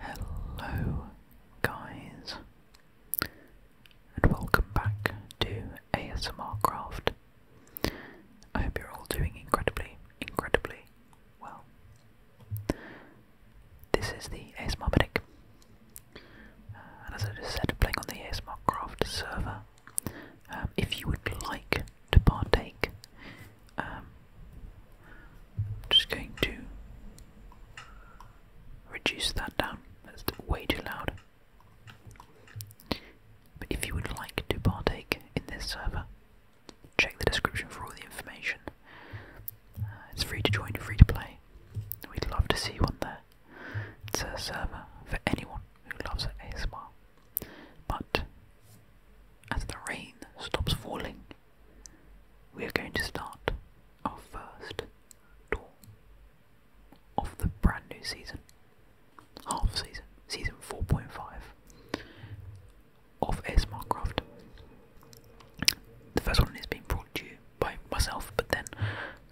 Hello, guys, and welcome back to ASMR Craft. I hope you're all doing incredibly, incredibly well. This is the ASMR Medic, uh, and as I just said, playing on the ASMR Craft server. Um, if you would like to partake I'm um, just going to reduce that down. It's way too loud. But if you would like to partake in this server, check the description for all the information. Uh, it's free to join, free to play. We'd love to see you on there. It's a server for anyone who loves ASMR. But as the rain stops falling, we are going to start our first tour of the brand new season, half season, season 4.5 of ASMR Craft. The first one is being brought to you by myself, but then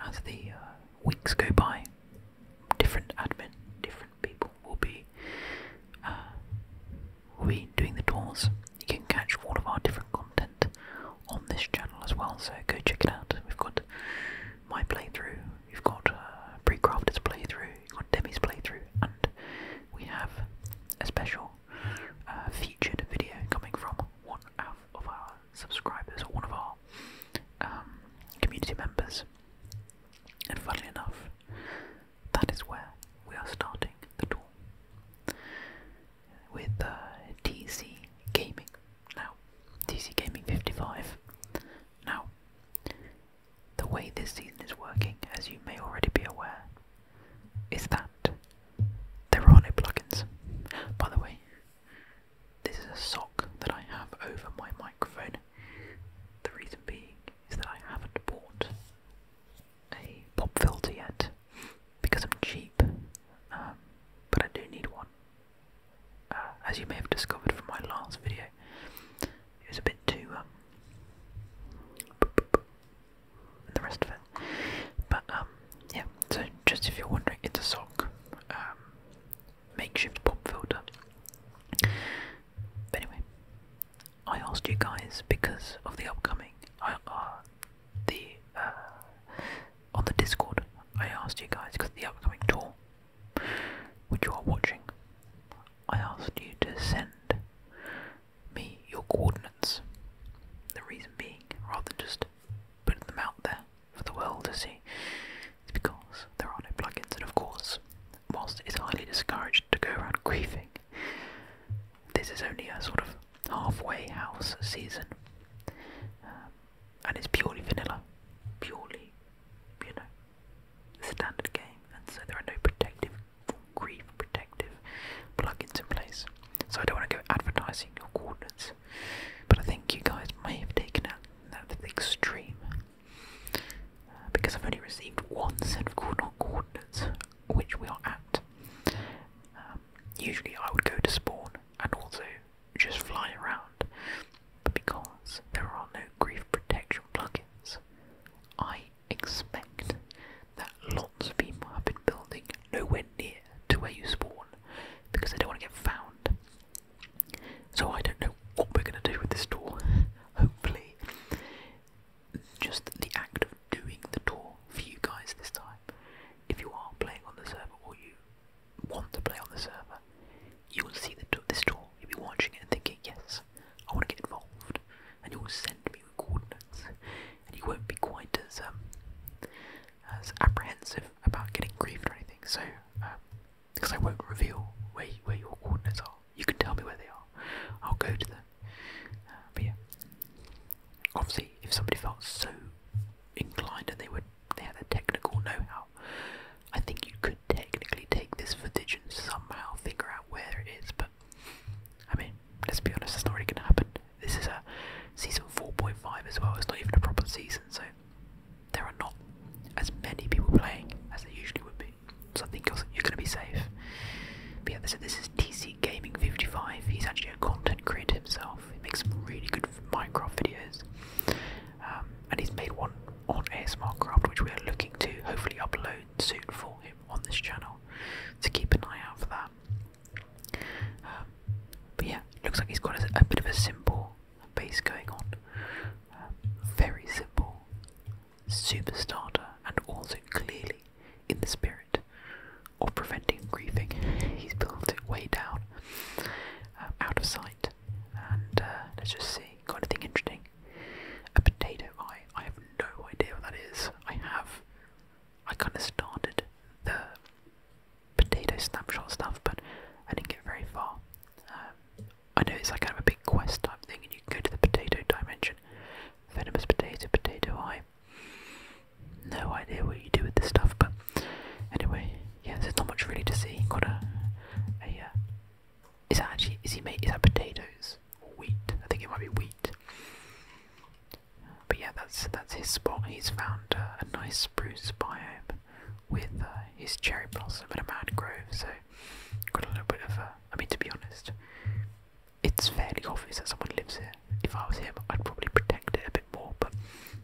as the uh, weeks go by, different admin, different people will be uh, we doing the tours. You can catch all of our different content on this channel as well, so go check it out. We've got my playthrough, we've got pre uh, Precrafted's playthrough, we've got Demi's playthrough, and we have a special uh, featured video coming from one of our subscribers or one of our um, community members. And funnily enough, that is where we are starting the tour with uh, TC Gaming. Now, TC Gaming 55. Now, the way this season is working, as you may already be aware, is that there are no plugins. By the way, this is a sock that I have over my microphone. The reason being is that I haven't bought a pop filter yet because I'm cheap, um, but I do need one. Uh, as you may have discovered from my last video, it was a bit too. Um, the rest of it. But um, yeah, so just if you're wondering, it's a sock. makeshift pop filter. But anyway, I asked you guys because of the upcoming, I, uh, the uh, on the Discord. I asked you guys because of the upcoming tour, which you are watching. I asked you to send me your coordinates. The reason being, rather than just putting them out there for the world to see, is because there are no plugins, and of course, whilst it is highly discouraged to go around griefing, this is only a sort of halfway house season, um, and it's purely vanilla, purely, you know, standard game, and so there are no protective, grief protective plugins in place. So I don't want to go advertising your coordinates, but I think you guys may have taken that to the extreme. Uh, because I've only received one set of coordinate coordinates, which we are at. Um, usually I would go to spawn and also just fly around, but because there are no grief protection plugins, I expect that lots of people have been building nowhere near to where you spawn because they don't want to get found. So I don't know what we're going to do with this door. Hopefully, just the act of doing the tour for you guys this time. If you are playing on the server or you want to play on the server, you will see the, this tour. You'll be watching it and thinking, yes, I want to get involved. And you will send me coordinates. And you won't be quite as um, as apprehensive about getting griefed or anything. So, because um, I won't reveal where, where your coordinates are. You can tell me where they are. I'll go to them. Uh, but yeah, obviously, if somebody felt so inclined and they were they had a technical know-how, I think you could technically take this footage and somehow figure out where it is. But I mean, let's be honest, it's not really going to happen. This is a season 4.5 as well. It's not even a proper season, so there are not as many people playing as there usually would be. So I think you're, going to be safe. But yeah, so this is TC Gaming 55. He's actually a content creator himself. He makes some really good Minecraft videos, um, and he's made one on ASMR Craft, which we are looking to hopefully upload soon for him on this channel. to keep an eye out for that. Um, but yeah, looks like he's got a, bit of a simple base going on. Um, very simple Super starter, and also clearly in the spirit of preventing griefing. He's built it way down, um, out of sight. And uh, let's just see. Got anything interesting? A potato eye. I have no idea what that is. I have. I kind of started the potato snapshot stuff, but I didn't get very far. Um, I know it's like kind of a big quest type thing, and you can go to the potato dimension. Venomous potato, potato eye. No idea what you do with this stuff, but anyway, yeah, there's not much really to see. Got a, a uh, is that actually is he made is that potatoes or wheat? I think it might be wheat. But yeah, that's that's his spot. He's found uh, a nice spruce biome with uh, his cherry blossom and a mangrove. So got a little bit of a. I mean, to be honest, it's fairly obvious that someone lives here. If I was him, I'd probably protect it a bit more, but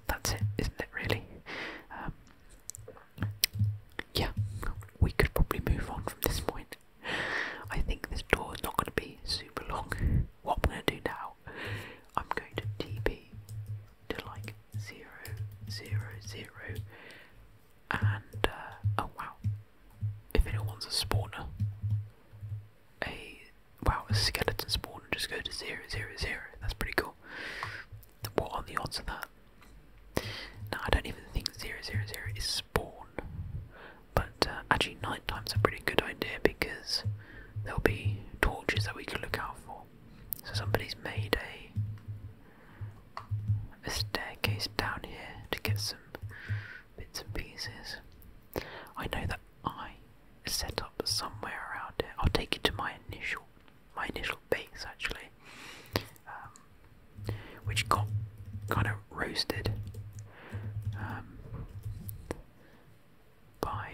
that's it, isn't it, really? Um, yeah, we could probably move on from this point. I think this door is not going to be super long. What I'm going to do now, I'm going to TP to like zero, zero, zero, and uh, oh wow, if anyone wants a spawner, a wow a skeleton spawner, just go to zero zero zero. That's pretty cool. What are the odds of that? Now I don't even think zero zero zero is spawn, but uh, actually night time's a pretty good idea because there'll be torches that we can look out for. So somebody's made a a staircase down here to get some bits and pieces. I know that I set up somewhere around here. I'll take you to my initial my initial base actually. Um, which got kind of roasted um, by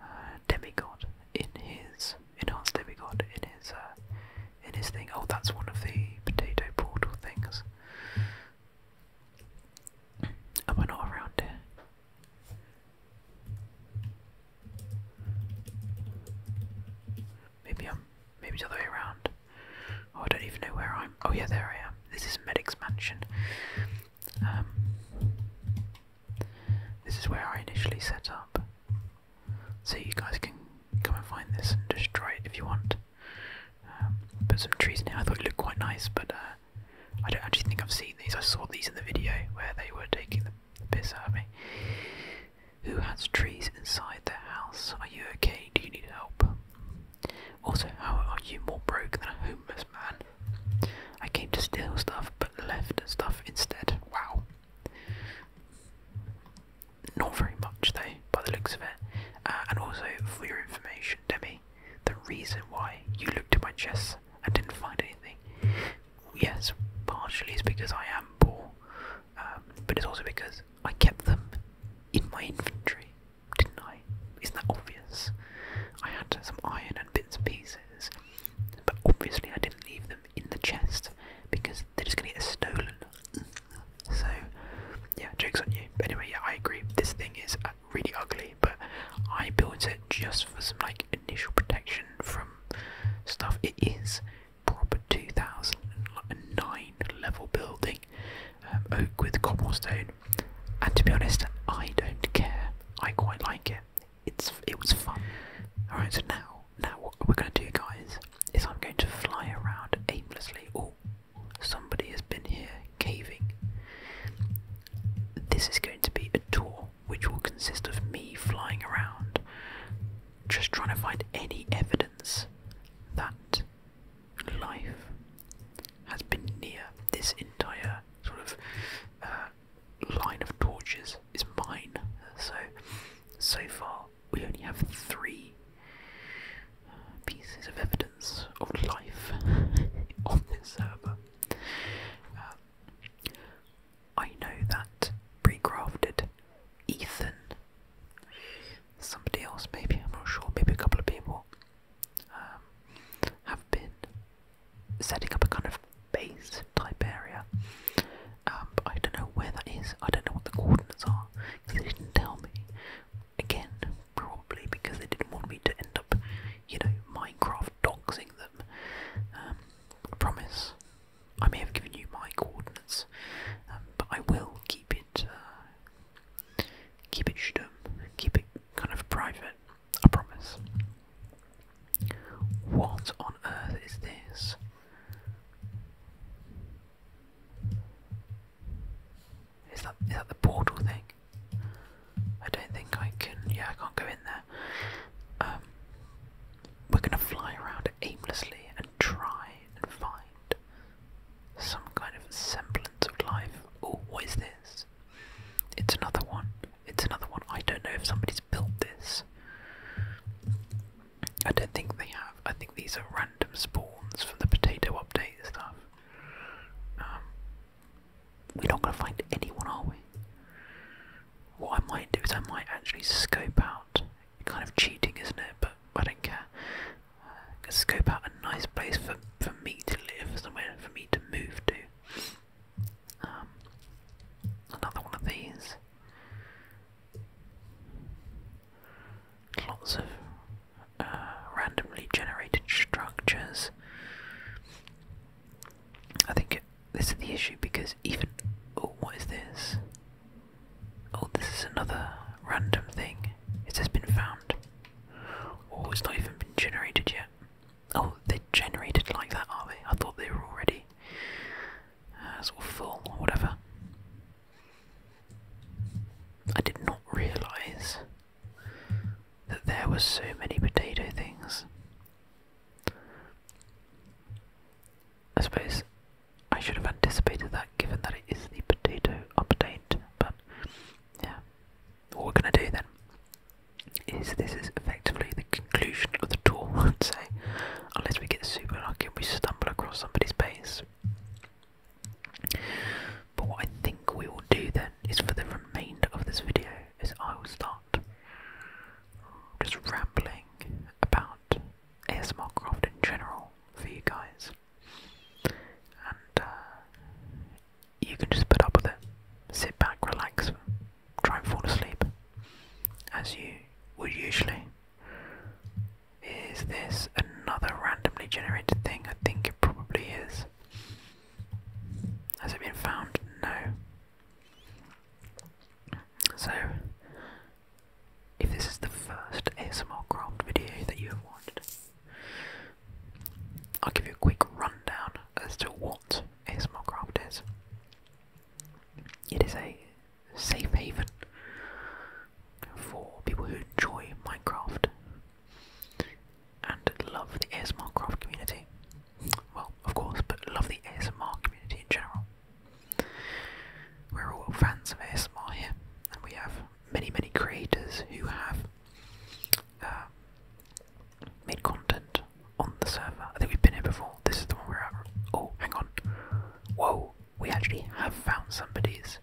a uh, Demigod in his enhanced demigod in his uh, in his thing. Oh, that's one of the potato portal things. Am I not around Maybe I'm. Maybe the other way around. Oh, I don't even know where I'm. Oh yeah, there I am. This is Medic's mansion. Um, this is where I initially set up so you guys can come and find this and destroy it if you want. Um, put some trees in it. I thought it looked quite nice, but uh, I don't actually think I've seen these. I saw these in the video where they were taking the, the piss out of me. Who has trees inside their house? Are you okay? Do you need help? Also, how are you more broke than a homeless man? I came to steal stuff but left stuff instead. Wow. Not very much though, by the looks of it. Uh, and also, for your information, Demi, the reason why you looked at my chest and didn't find anything, yes, partially its because I am poor, um, but it's also because I kept them in my inventory, didn't I? Isn't that obvious? I had some iron and bits and pieces, but obviously I didn't leave them in the chest because they're just gonna get stolen. So yeah, jokes on you. anyway, yeah, I agree. This thing is uh, really ugly, but I built it just for some like initial protection from stuff. It is proper 2009 level building, um, oak with cobblestone. And to be honest, I don't care. I quite like it. It's it was fun. All right, so now now what we're going to do, guys, is I'm going to fly around aimlessly. Oh, somebody has been here caving. This is going to be a tour which will consist of me flying around, just trying to find any evidence that life has been near this entire sort of uh, line of torches is mine. So so far, we only have three uh, pieces of evidence of life on this server. Uh, I know that pre-crafted Ethan, somebody else maybe, I'm not sure, maybe a couple of people, um, have been setting up a kind of base type area. Um, I don't know where that is. I don't know what the coordinates are because they didn't tell me. Again, probably because they didn't want me to end up, you know, Minecraft doxing them. Um, I promise. I may have given you my coordinates, um, but I will keep it, uh, keep it keep it kind of private. I promise. What on earth is this? Is that is that the portal thing? I don't think I can. Yeah, I can't go in there. Um, we're gonna fly around aimlessly and try and find some kind of semblance of life. Oh, what is this? It's another one. It's another one. I don't know if somebody's built this. I don't think they have. I think these are random spawns from the potato update stuff. Um, we're not going to find anyone, are we? What I might do is I might actually scope out. Kind of cheating, isn't it? But I don't care. Uh, scope out a nice place for for me to live, somewhere for me to move to. Um, another one of these. Lots of uh, randomly generated structures. I think this is the issue because even. Oh, what is this? Oh, this is another random thing. It has been found. Oh, it's not even been generated yet. Oh, they're generated like that, are they? I thought they were already uh, sort full or whatever. I did not realise that there were so many potato things. I suppose I should have anticipated that given that it is the potato update, but yeah. What we're going to do then is this is effectively the conclusion of the tour, I'd say. Unless we get super lucky and we stumble across somebody's base. But what I think we will do then is for the remainder of this video is I will start just rambling about ASMR craft in general for you guys. And uh, you can just put up with it. Sit back, relax, try and fall asleep as you would usually. Is this another randomly generated thing? I think it probably is. Has it been found? No. So, if this is the first ASMR craft video that you have watched, I'll give you a quick rundown as to what ASMR craft is. It is a safe haven for people who enjoy Minecraft and love the ASMR community. Well, of course, but love the ASMR community in general. We're all fans of ASMR here, and we have many, many creators who have uh, made content on the server. I think we've been here before. This is the one we're at. Oh, hang on. Whoa, we actually have found somebody's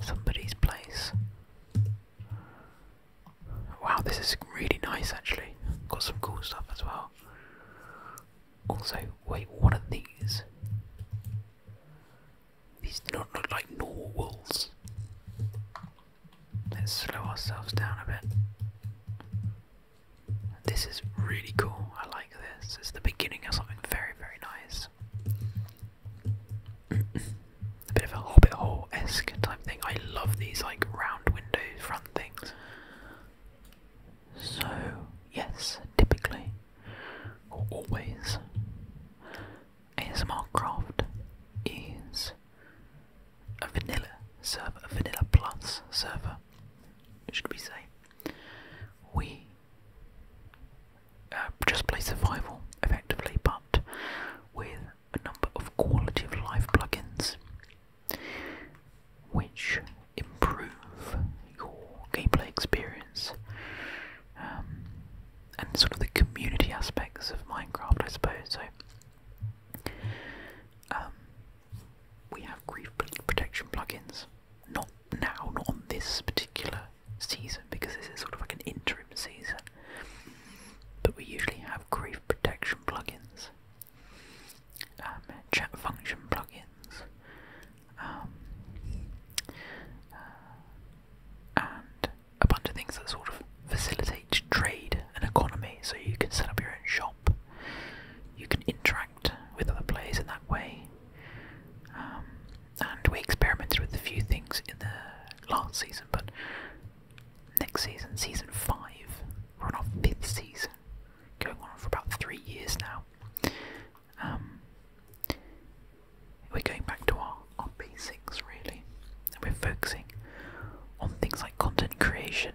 somebody's place. Wow, this is really nice actually. Got some cool stuff as well. Also, wait, what are these? These do not look like normal wolves. Let's slow ourselves down a bit. This is really cool. I like this. It's the beginning of something very, very nice. a bit of a Hobbit hole esque type thing. I love these like round windows front things. So yes, typically or always, ASMR Craft is a vanilla server, a vanilla plus server should we say? Uh, we just play survival effectively, but with a number of quality of life plugins which improve your gameplay experience um, and sort of the community aspects of Minecraft, I suppose. So, um, we have grief protection plugins. Not now, not on this particular season, because this is sort of like an interim season. But we usually have grief protection plugins, um, chat function plugins, um, uh, and a bunch of things that sort of facilitate trade and economy. So you can set up your own shop, you can interact with other players in that way. Um, and we experimented with a few things in the last season, but next season, season five, we're on our fifth season, going on for about three years now. Um, we're going back to our, our basics really, and we're focusing on things like content creation,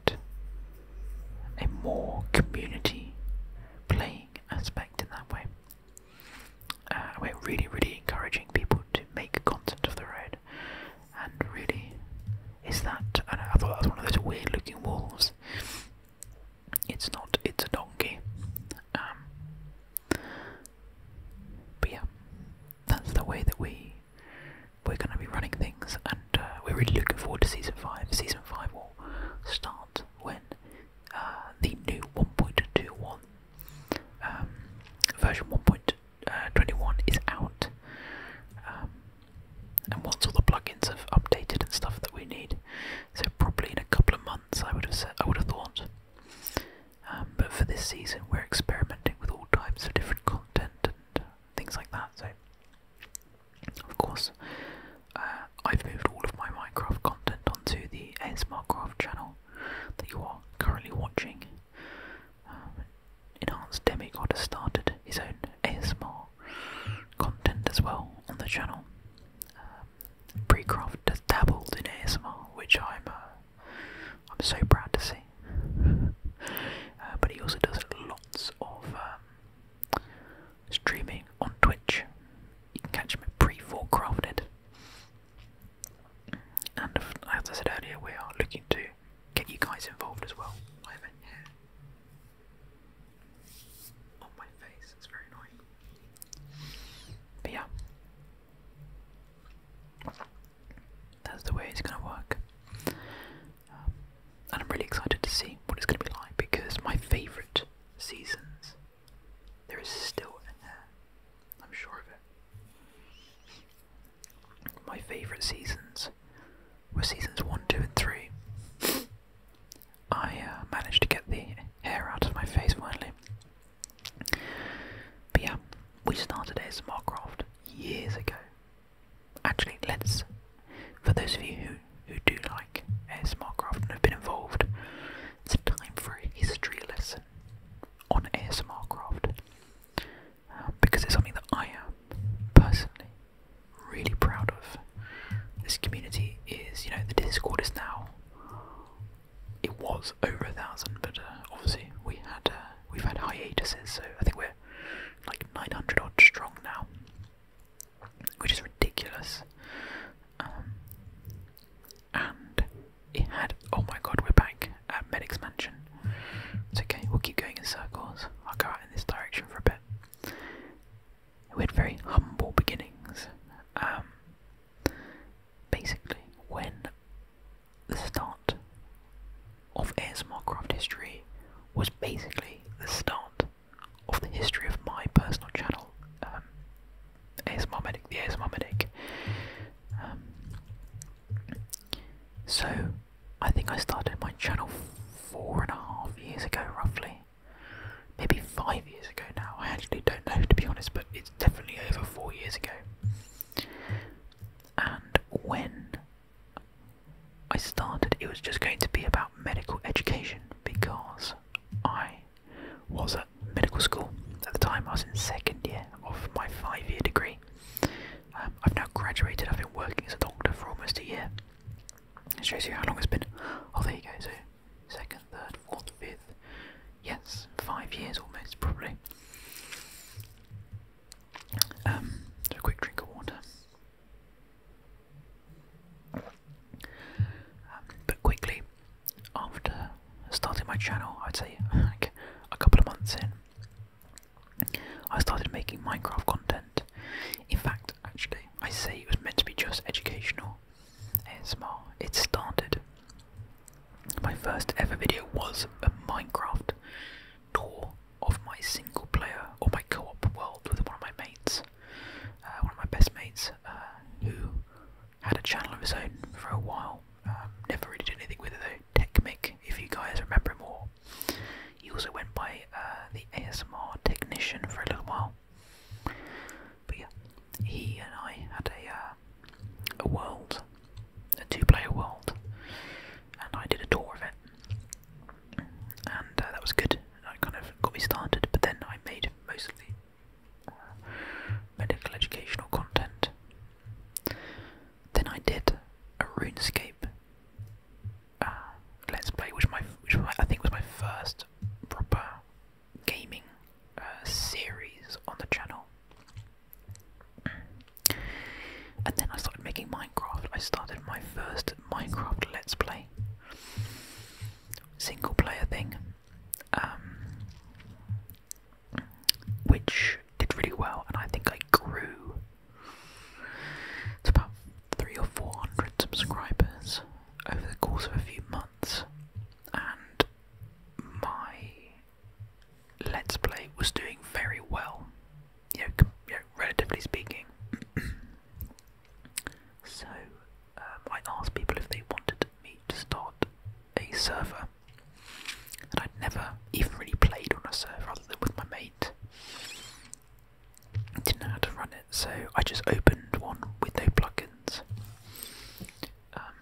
and a more community playing aspect in that way. Uh, we're really, really encouraging people to make content of the road, and really, is that? I, I thought that was one of those weird-looking walls. It's not. It's a donkey. Um, but yeah, that's the way that we we're going to be running things, and uh, we're really looking forward to season five. Season five will start when uh, the new 1.21 um, version 1.21 uh, is out, um, and once all the plugins have updated and stuff that we need, so probably in a couple of months, I would have said, I would have thought. Um, but for this season, we're experimenting with all types of different content things like that. So, of course, uh, I've moved all of my Minecraft content onto the ASMRcraft channel that you are currently watching. Um, Enhanced Demigod has started his own ASMR content as well on the channel. Um, Precraft has dabbled in ASMR, which I'm uh, I'm so proud to see. Uh, but he also does lots of um, streaming on Twitch. You can catch him pre-4 crafted. And as I said earlier, we are looking to get you guys involved as well. on my face, it's very annoying. yeah that's the way it's going to work. Um, and I'm really excited to see what it's going to be like because my favourite seasons, there is still an air, I'm sure of it. My favourite seasons were seasons 1, 2, and 3. I uh, managed to get the hair out of my face finally. But yeah, we started ASMR Craft years ago. Actually, let's, for those of you who, who do like ASMR Craft and have been involved, it's a time for a history lesson on ASMR Craft. Uh, because it's something that I am personally really proud of. This community is, you know, the Discord is now. It was over a thousand, but uh, obviously we had uh, we've had hiatuses, so I think we're like 900 odd strong now, which is ridiculous. Um, and it had, oh my god, we're back at Medic's Mansion. It's okay, we'll keep going in circles. I'll go out in this direction for a bit. We had very humble beginnings. Um, basically, when the start of ASMR craft history was basically the start of the history of my personal channel, um, ASMR Medic, the ASMR Medic. Um, so, I think I started my channel four and a half years ago, roughly. Maybe five years ago now. I actually don't know, to be honest, but it's definitely over four years ago and when I started, it was just going to be about medical education because I was at medical school at the time. I was in second year of my five-year degree. Um, I've now graduated. I've been working as a doctor for almost a year. It shows you how long it's been. Oh, there you go. So, second, third, fourth, fifth. Yes, five years almost, probably. Um, a quick drink of water. Um, but quickly, after starting my channel, I'd say like a couple of months in, I started making Minecraft content. In fact, actually, I say it was meant to be just educational ASMR. It started my first ever video was a Minecraft tour of my single player or my co op world with one of my mates, uh, one of my best mates, uh, who had a channel of his own for a while. Um, never really did anything with it though. TechMic, if you guys remember him more, He also went by uh, the ASMR Technician for a little while. But yeah, he and I had a, a world a two-player world, and I did a tour of it, and uh, that was good. I kind of got me started, but then I made mostly uh, medical educational content. Then I did a RuneScape uh, Let's Play, which my which I think was my first proper gaming series on the channel. And then I started making Minecraft. I started my first Minecraft Let's Play, single player thing, um, which did really well, and I think I grew to about three or four hundred subscribers over the course of a few months. And my Let's Play was doing very well, you know, relatively speaking. so um, I asked people if they wanted me to start a server, and I'd never even really played on a server other than with my mate. I didn't know how to run it, so I just opened one with no plugins. Um,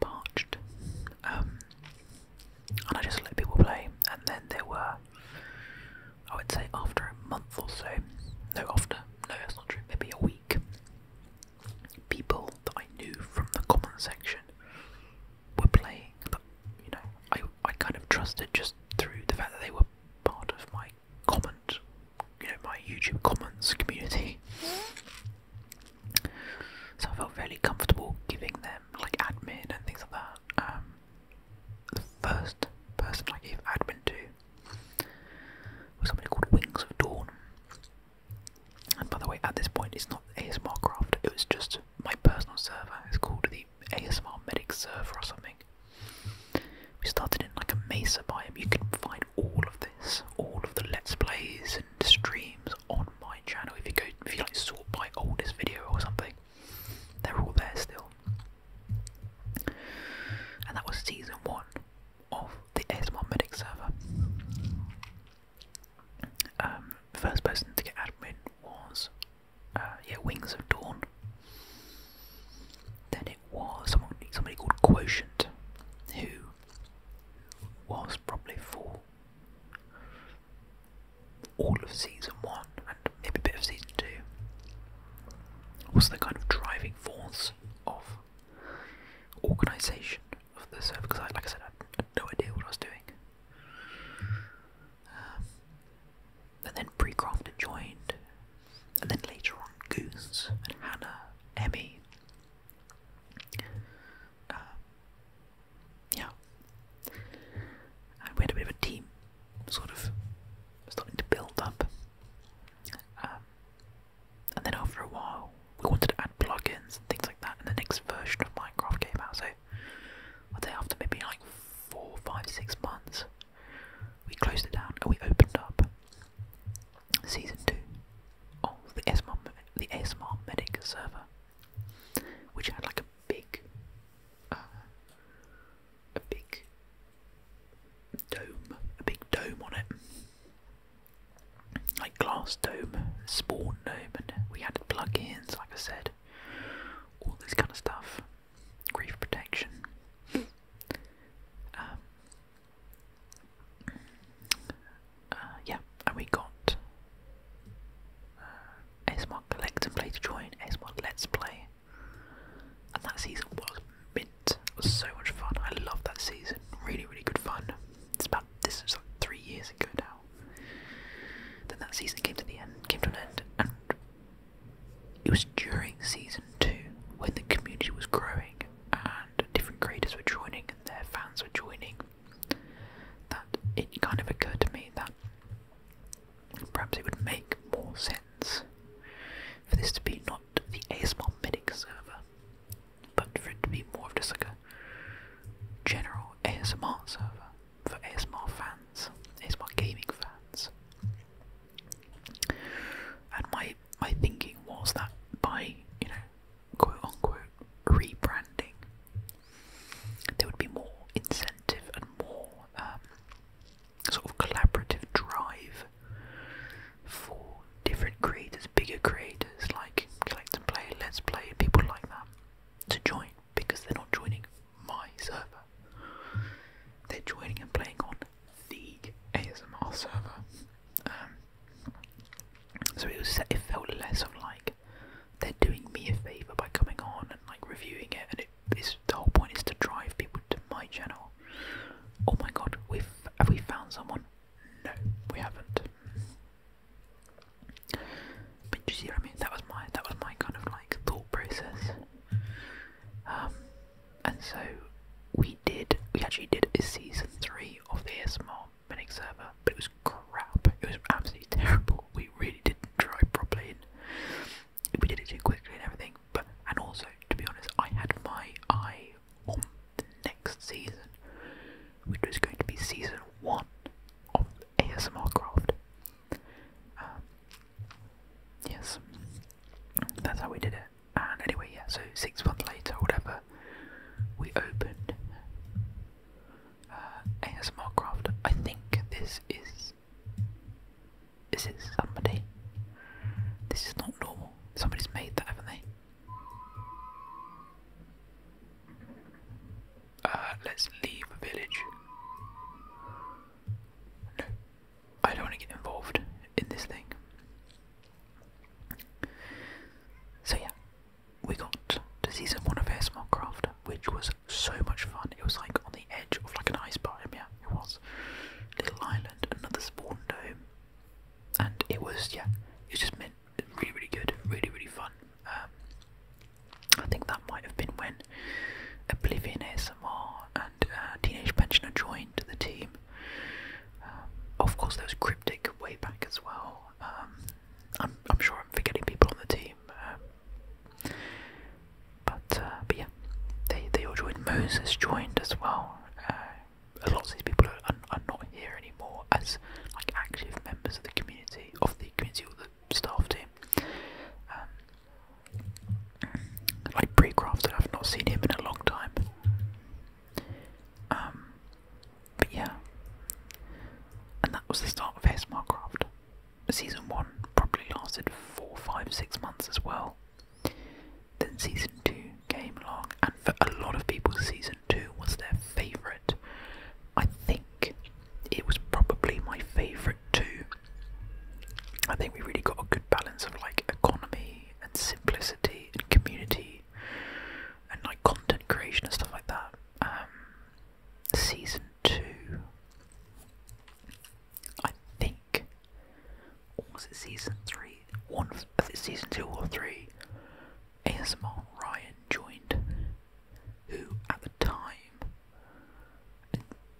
parched. Um, and I just let people play, and then there were, I would say, after a month or so, no, after, no, that's not true, maybe a week, people that I knew from the comment section were playing, but you know, I, I kind of trusted just through the fact that they were part of my Comments, you know, my YouTube comments community. So I felt really comfortable giving them like admin and things like that. Um, the first person I gave admin to was somebody called Wings of Dawn. And by the way, at this point, it's not ASMR Craft, it was just my personal server. It's called the ASMR medic server or something. We started in like a mesa biome. You can find all of this, all of the let's plays and streams on my channel. If you go, if you like sort by oldest video or something, they're all there still. And that was season one of the ASMR medic server. Um, first person to get admin was uh, yeah, Wings of Dawn. Then it was somebody called Quotient, who was probably for all of season one and maybe a bit of season two. Was the kind of driving force of organisation of the server because, I, like I said, I had no idea what I was doing. Um, and then pre-crafted joined, and then later on Goose and Hannah, Emmy. Um, yeah. And we had a bit of a team sort of starting to build up. Um, and then after a while, we wanted to add plugins and things like that, and the next version of Minecraft came out. So, I'd say after maybe like four, five, six months. We closed it down and we opened up season two of the ASMR, the ASMR Medic server, which had like a big, uh, a big dome, a big dome on it, like glass dome, spawn dome, and we had plugins, like I said, all this kind of stuff grief protection. Um, uh, yeah, and we got S uh, ASMR Collect and Play to join, S ASMR Let's Play. And that season was mint. so much fun. I love that season. Really, really good fun. It's about this was like three years ago now. Then that season came to the end, came to an end, and it was during season two when the community was growing and different creators were joining and their fans were joining that it kind of occurred to me that perhaps it would make more sense for this to be not the ASMR Medic server, but for it to be more of just like a general ASMR server for ASMR fans, ASMR gaming fans. And my my thinking was that by, you know, quote unquote rebranding, there would be more incentive and more um, sort of collaborative drive for different creators, bigger creators like Collect and Play, Let's Play, people like that to join because they're not joining my server. They're joining and playing on the ASMR server. Um, so it felt less of like they're doing me a favour by coming on and like reviewing it, and it is the whole point is to drive people to my channel. Oh my god, we've have we found someone? No, we haven't. But you see what I mean? That was my that was my kind of like thought process. Um, and so we did, we actually did a season three of the ASMR Minix server, but it was crap. It was absolutely terrible. We really didn't try properly. And we did it too quickly and everything. But and also, to be honest, I had my eye on the next season, which was going to be season one of ASMR Craft. Um, yes, that's how we did it. And anyway, yeah, so six months later, whatever, we opened uh, ASMR Craft. I think this is. Is it somebody? This is not normal. Somebody's made that, haven't they? Uh, let's leave a village no, I don't want to get involved in this thing. So yeah, we got to season one of ASMR Craft, which was so much fun. It was like on the edge of like an ice biome, yeah, it was. Little island, another spawn dome. And it was, yeah, it just meant really, really good, really, really fun. Um, I think that might have been when Oblivion ASMR and uh, Teenage Pensioner joined the team. Um, of course, there was Cryptic way back as well. Um, I'm, I'm sure I'm forgetting people on the team. Um, but, uh, but yeah, they, they all joined. Moses joined as well. Uh, a lot of these people are, are not here anymore as like active members of the community, of the community or the staff team like pre-crafted. I've not seen him in a long time. Um, but yeah, and that was the start of ASMR Craft. Season one probably lasted four, five, six months as well. Then season two came along, and for a lot of people, season two was their favourite. I think it was probably my favourite too. I think we really got a good balance of like economy and simplicity and community and like content creation and stuff like that. Um, season two, I think, was it season three? One, I think season two or three. ASMR Ryan joined, who at the time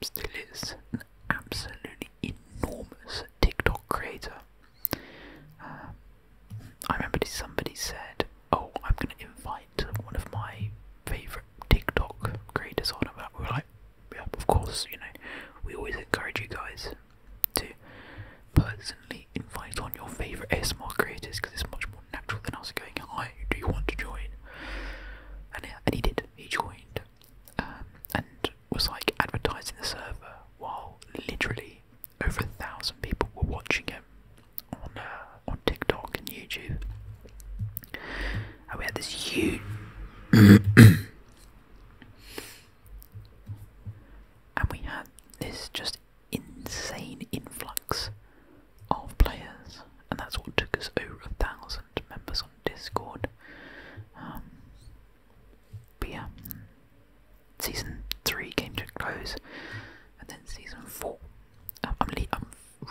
still is an absolutely enormous TikTok creator. Um, I remember somebody said, "Oh, I'm going to invite one of my favorite TikTok creators on." About we were like, "Yeah, of course, you know, we always encourage you guys to personally invite on your favorite ASMR creators because it's much more." more natural than us going, "Hi, do you want to join?" And he did. He joined, um, and was like advertising the server while literally over a thousand people were watching him on uh, on TikTok and YouTube. And we had this huge. and we had this just insane influx of players, and that's what took us over a thousand members on Discord. Um, but yeah, season three came to a close, and then season four. Um, I'm,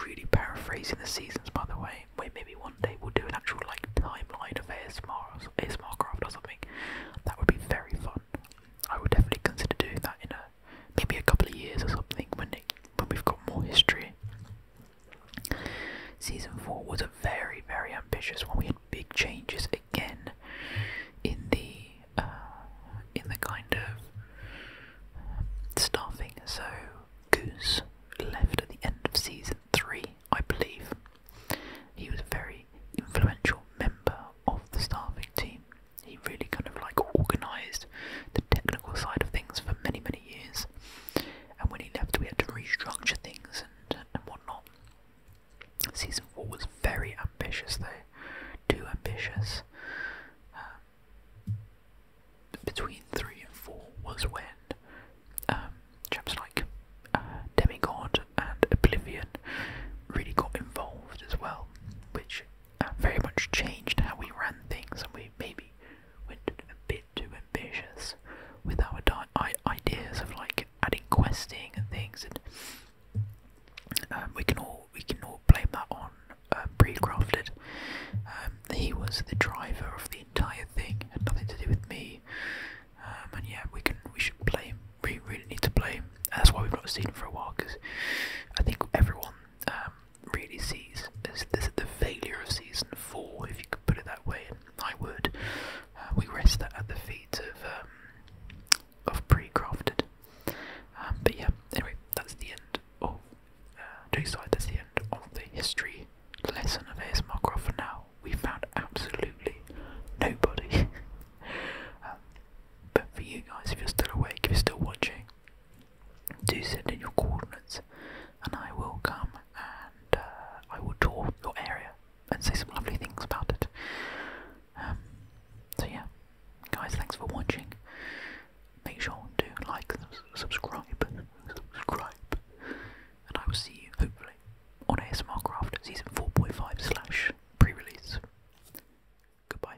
really paraphrasing the seasons, by the way. Wait, maybe one day we'll do an actual like timeline of ASMR, ASMR craft or something. That would be very fun. I would definitely consider doing that in a maybe a couple of years or something when when we've got more history. Season four was a very very ambitious one. We had big changes again in the uh, in the kind of staffing. So Goose left at the end of season three, I believe. He was a very influential member of the staffing team. He really kind of like organised the technical side of things for many many, years. And when he left, we had to restructure things and, and whatnot. Season 4 was very ambitious, though. Too ambitious. Um, between 3 and 4 was when um, like uh, Demigod and Oblivion really got involved as well, which very much changed how we ran things, and we maybe went a bit too ambitious with our ideas of like adding questing and things. And um, we can all we can all blame that on uh, pre-crafted. Um, he was the driver of the entire thing, had nothing to do with me. Um, and yeah, we can we should blame. We really need to blame. That's why we've not seen him for a while because I think everyone really sees as this, the failure of season four, if you could put it that way, and I would. Uh, we rest that at the feet of um, of pre-crafted. Um, but yeah, anyway, that's the end of uh, side. That's the end of the history lesson of ASMR Craft for now. We found absolutely nobody. Um, but for you guys, if you're still awake, if you're still watching, do send in your coordinates, and I will come and uh, I will tour your area and say some lovely things about it. Um, so yeah, guys, thanks for watching. Make sure to like, subscribe, subscribe, and I will see you hopefully on ASMR Craft Season 4.5 slash pre-release. Goodbye.